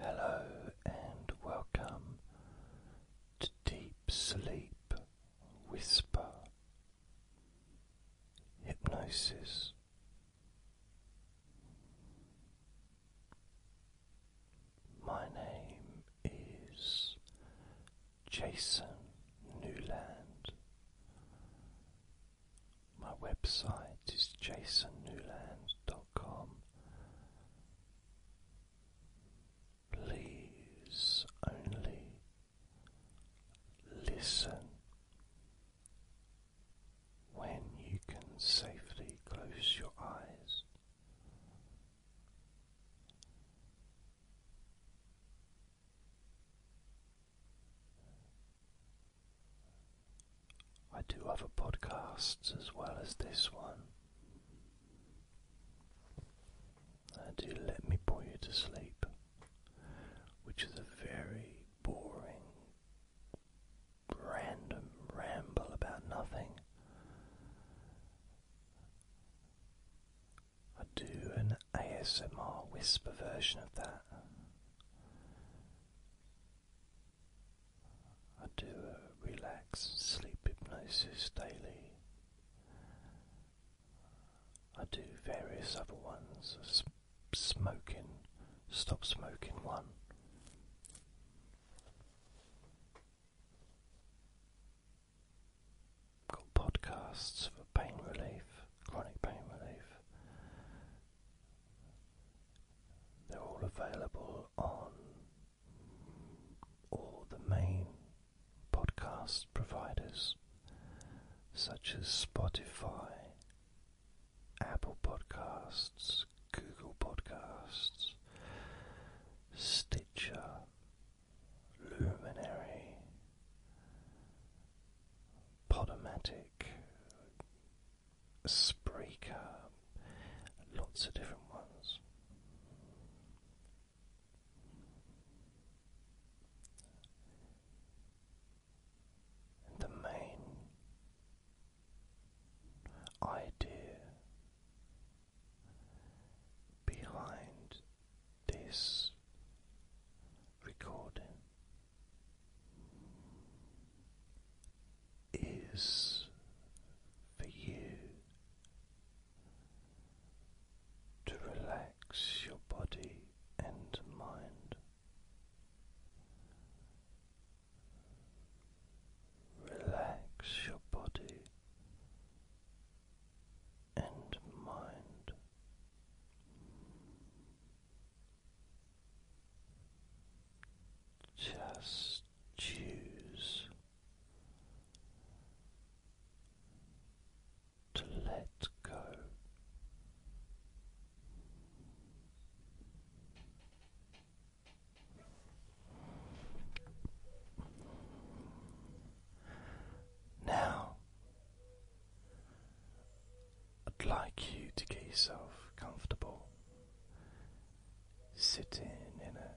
Hello and welcome to Deep Sleep Whisper Hypnosis. My name is Jason Newland. My website is jasonnewland.com. Please only listen when you can safely close your eyes. I do other podcasts as well as this one. I do Let Me Bore You to Sleep, which is a very boring, random ramble about nothing. I do an ASMR whisper version of that. I do a relaxed sleep hypnosis daily. I do various other ones, smoking, stop smoking one. Got podcasts for pain relief, chronic pain relief, they're all available on all the main podcast providers such as Spotify, Apple Podcasts, Google Podcasts, Stitcher, Luminary, Podomatic, Spreaker, lots of different ones. the main idea behind this recording is for you to relax your body and mind. Relax your body and mind. Just choose to let go. Now, I'd like you to get yourself comfortable sitting in a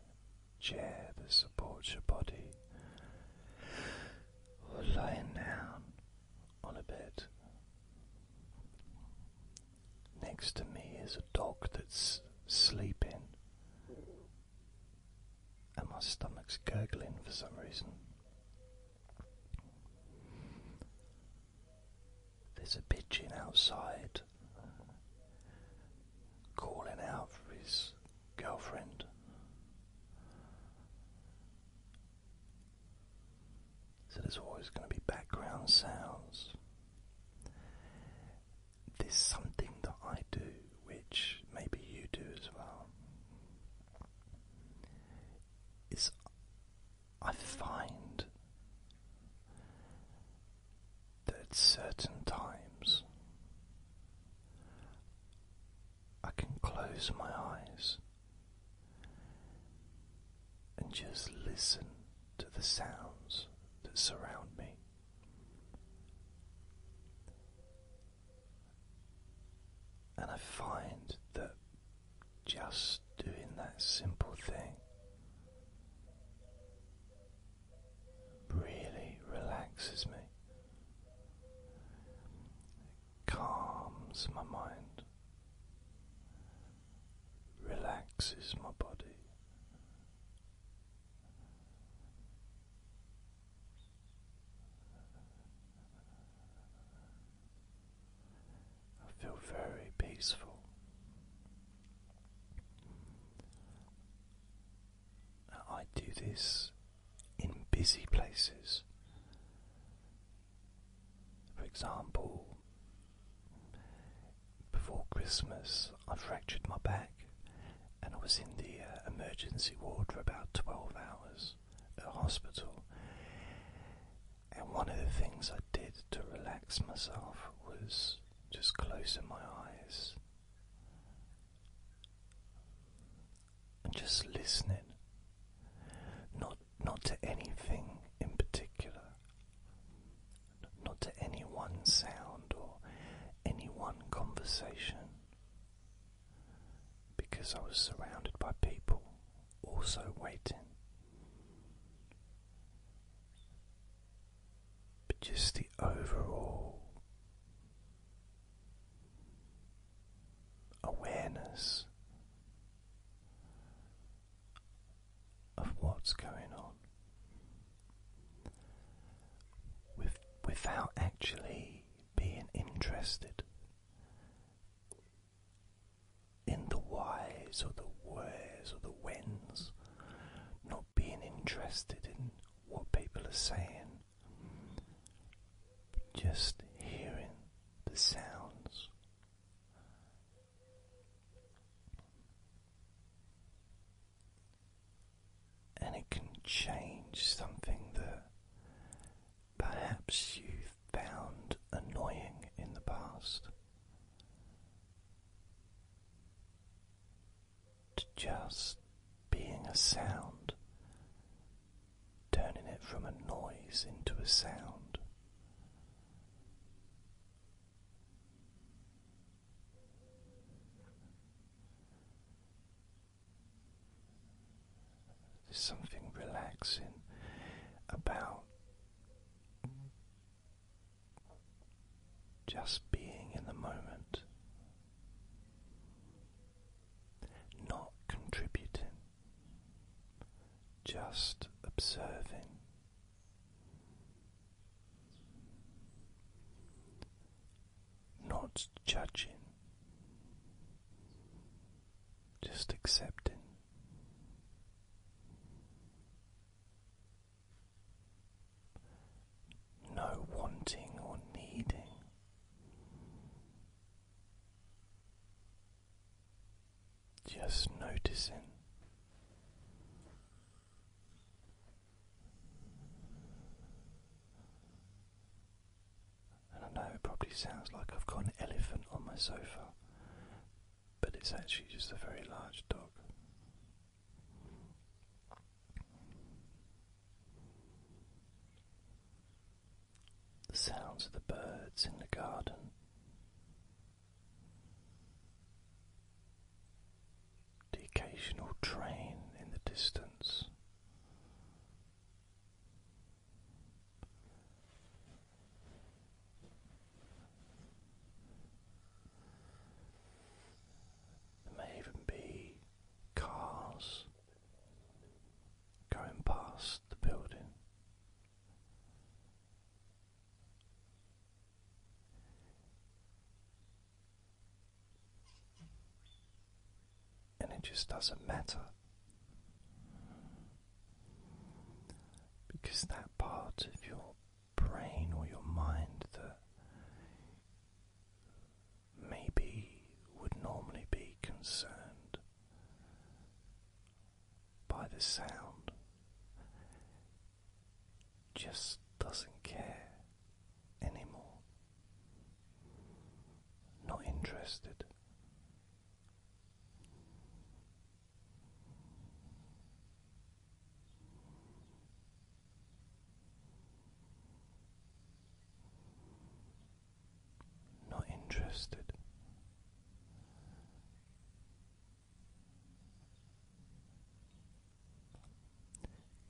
chair that supports your body, or lying down on a bed. Next to me is a dog that's sleeping, and my stomach's gurgling for some reason. There's a pigeon outside calling out for his girlfriend. So there's always going to be background sounds. There's something that I do which maybe you do as well. Is I find that certain times I can close my eyes and just listen to the sounds that surround me. And I find that just doing that simple thing. Really relaxes me, calms my mind, relaxes my body. I feel very peaceful. I do this in busy places. For example, before Christmas, I fractured my back and I was in the uh, emergency ward for about 12 hours at hospital. And one of the things I did to relax myself was just closing my eyes and just listening, not not to anything in particular, not to any one sound or any one conversation, because I was surrounded by people also waiting but just the overall awareness of what's going on without actually being interested in the whys or the wheres or the whens, not being interested in what people are saying, just hearing the sounds. And it can change something that perhaps you've found annoying in the past to just being a sound, turning it from a noise into a sound. There's something relaxing about just being in the moment, not contributing, just observing. Not judging, just accepting, no wanting or needing. Just noticing. And I know it probably sounds like I've got an elephant on my sofa, but it's actually just a very large dog. The sounds of the birds in the garden, the occasional train in the distance. There may even be cars going past the building. And it just doesn't matter. Because that part of your brain or your mind that maybe would normally be concerned by the sound just doesn't care anymore. Not interested. Not interested.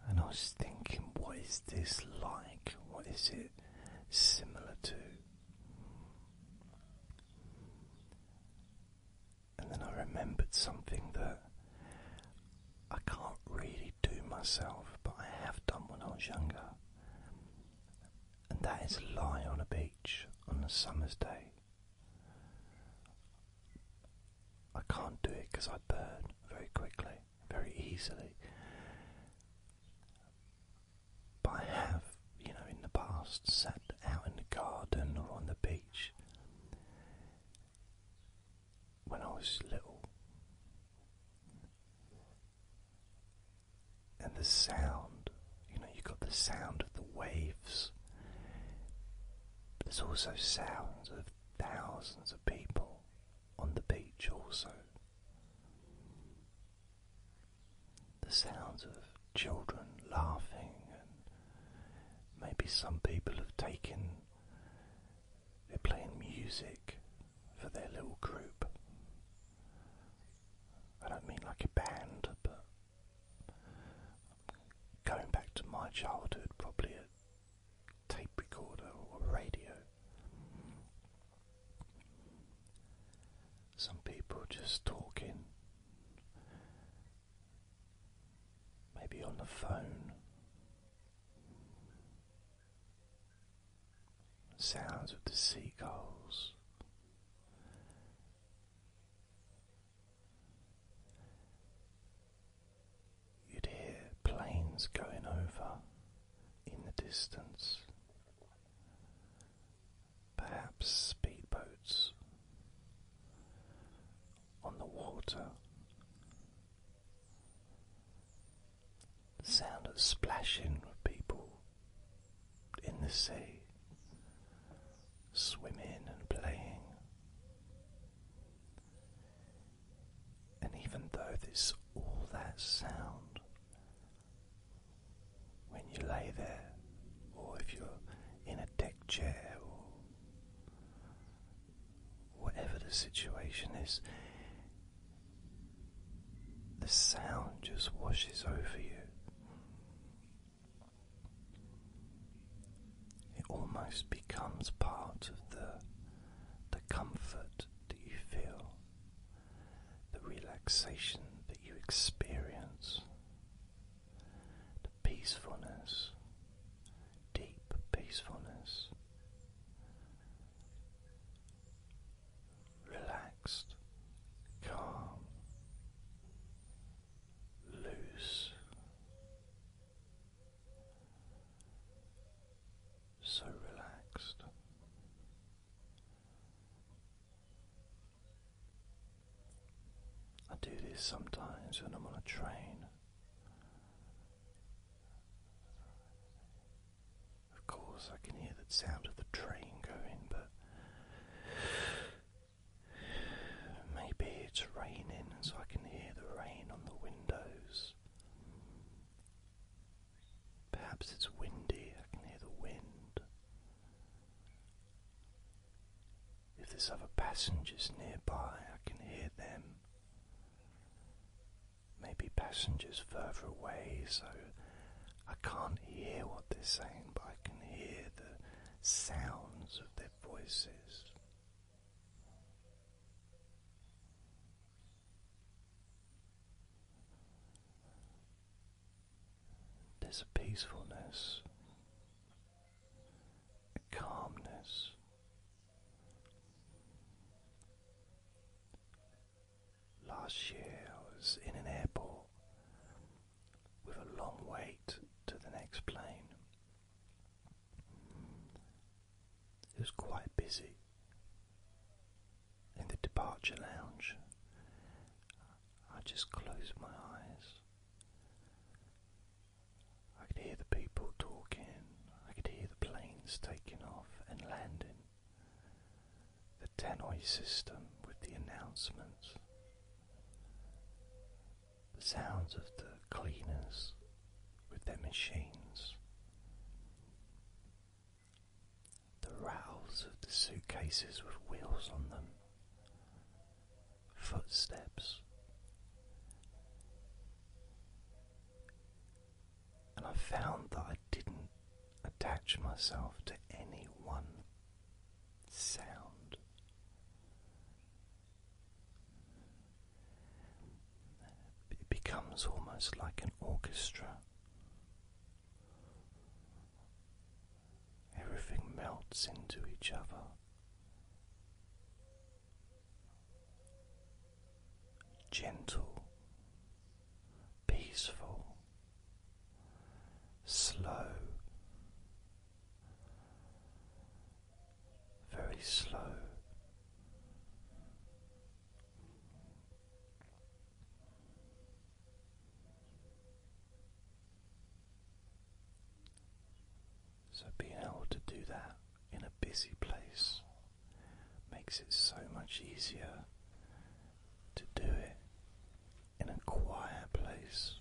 And I was thinking, what is this like? What is it similar to? And then I remembered something that I can't really do myself, but I have done when I was younger. And that is lie on a beach on a summer's day. I can't do it because I burn very quickly, very easily. But I have, you know, in the past sat out in the garden or on the beach when I was little, and the sound you know, you got the sound of the waves, there's also sounds of thousands of people on the beach, also the sounds of children laughing, and maybe some people have taken, they're playing music for their little group. I don't mean like a band, but going back to my childhood, probably a tape recorder or a radio. Some people just talking, maybe on the phone. Sounds of the seagulls. You'd hear planes going over in the distance perhaps speedboats on the water. sound of splashing of people in the sea, swimming and playing. And even though there's all that sound, when you lay there or if you're in a deck chair or whatever the situation is, the sound just washes over you. It almost becomes part of the the comfort that you feel, the relaxation that you experience peacefulness, deep peacefulness, relaxed, calm, loose. So relaxed, I do this sometimes when I'm on a train. Of course, I can hear the sound of the train going, but maybe it's raining, so I can hear the rain on the windows. Perhaps it's windy, I can hear the wind. If there's other passengers nearby, I can hear them. Maybe passengers further away, so I can't hear what they're saying, but I can hear the sounds of their voices. There's a peacefulness calmness. Last year I was in an airport with a long wait to the next plane. It was quite busy in the departure lounge. I just closed my eyes I could hear the people talking, I could hear the planes taking off and landing, the tannoy system with the announcements, the sounds of the cleaners with their machines. The rattles of the suitcases with wheels on them, footsteps. And I found that I didn't attach myself to any one sound. It becomes almost like an orchestra everything melts into each other. Gentle, peaceful, slow, very slow. So, being able to do that in a busy place makes it so much easier to do it in a quiet place.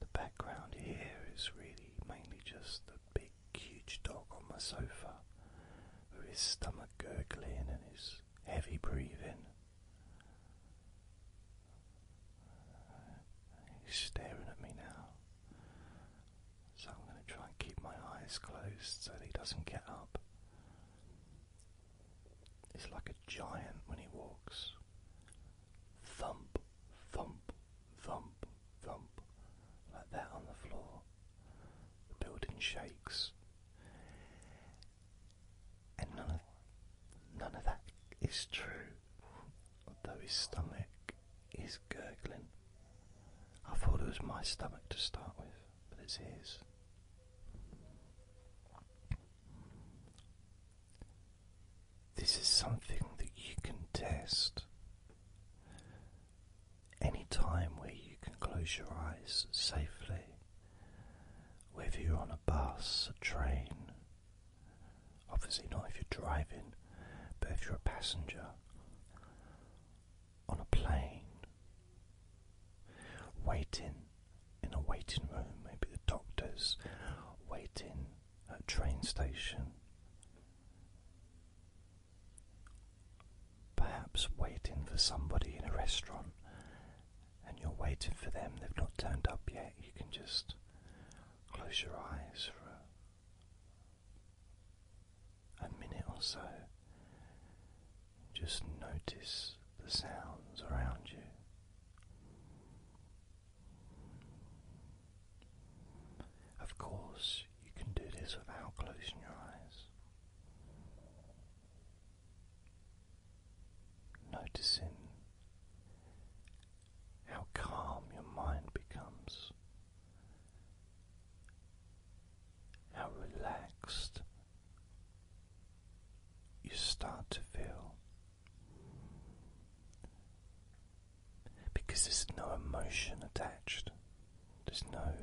The background here is really mainly just the big, huge dog on my sofa with his stomach gurgling and his heavy breathing. He's staring at me now. So I'm going to try and keep my eyes closed so that he doesn't get up. He's like a giant when he walks. Thump, thump, thump, thump. Like that on the floor. The building shakes. And none of, none of that is true, although his stomach is gurgling. I thought it was my stomach to start with, but it's his. This is something that you can test any time where you can close your eyes safely, whether you're on a bus, a train, obviously not if you're driving, but if you're a passenger on a plane, waiting in a waiting room, maybe the doctors, waiting at a train station perhaps waiting for somebody in a restaurant and you're waiting for them, they've not turned up yet, you can just close your eyes for a, minute or so. Just notice the sounds around you. Of course, you can do this without closing your eyes. Noticing how calm your mind becomes, how relaxed you start to feel. Because there's no emotion attached, there's no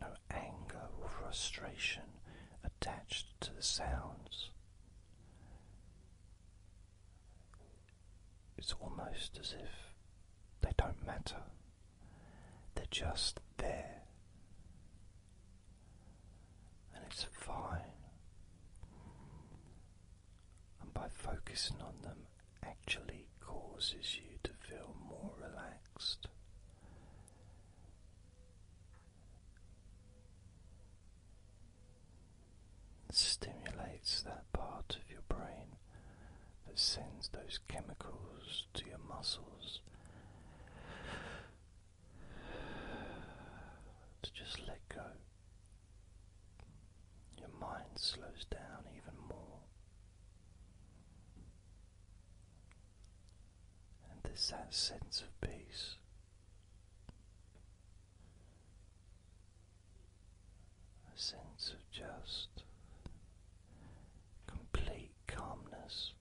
no anger or frustration attached to the sounds. It's almost as if they don't matter, they're just there. And it's fine. And by focusing on them, actually causes you to feel more relaxed. stimulates that part of your brain that sends those chemicals to your muscles to just let go. Your mind slows down even more. And there's that sense of peace. A sense of just complete calmness.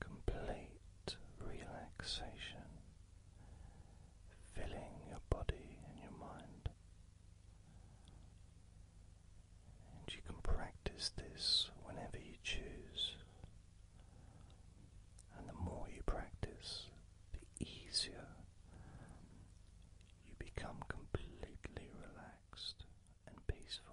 Complete relaxation filling your body and your mind. And you can practice this whenever you choose. And the more you practice, the easier you become completely relaxed and peaceful.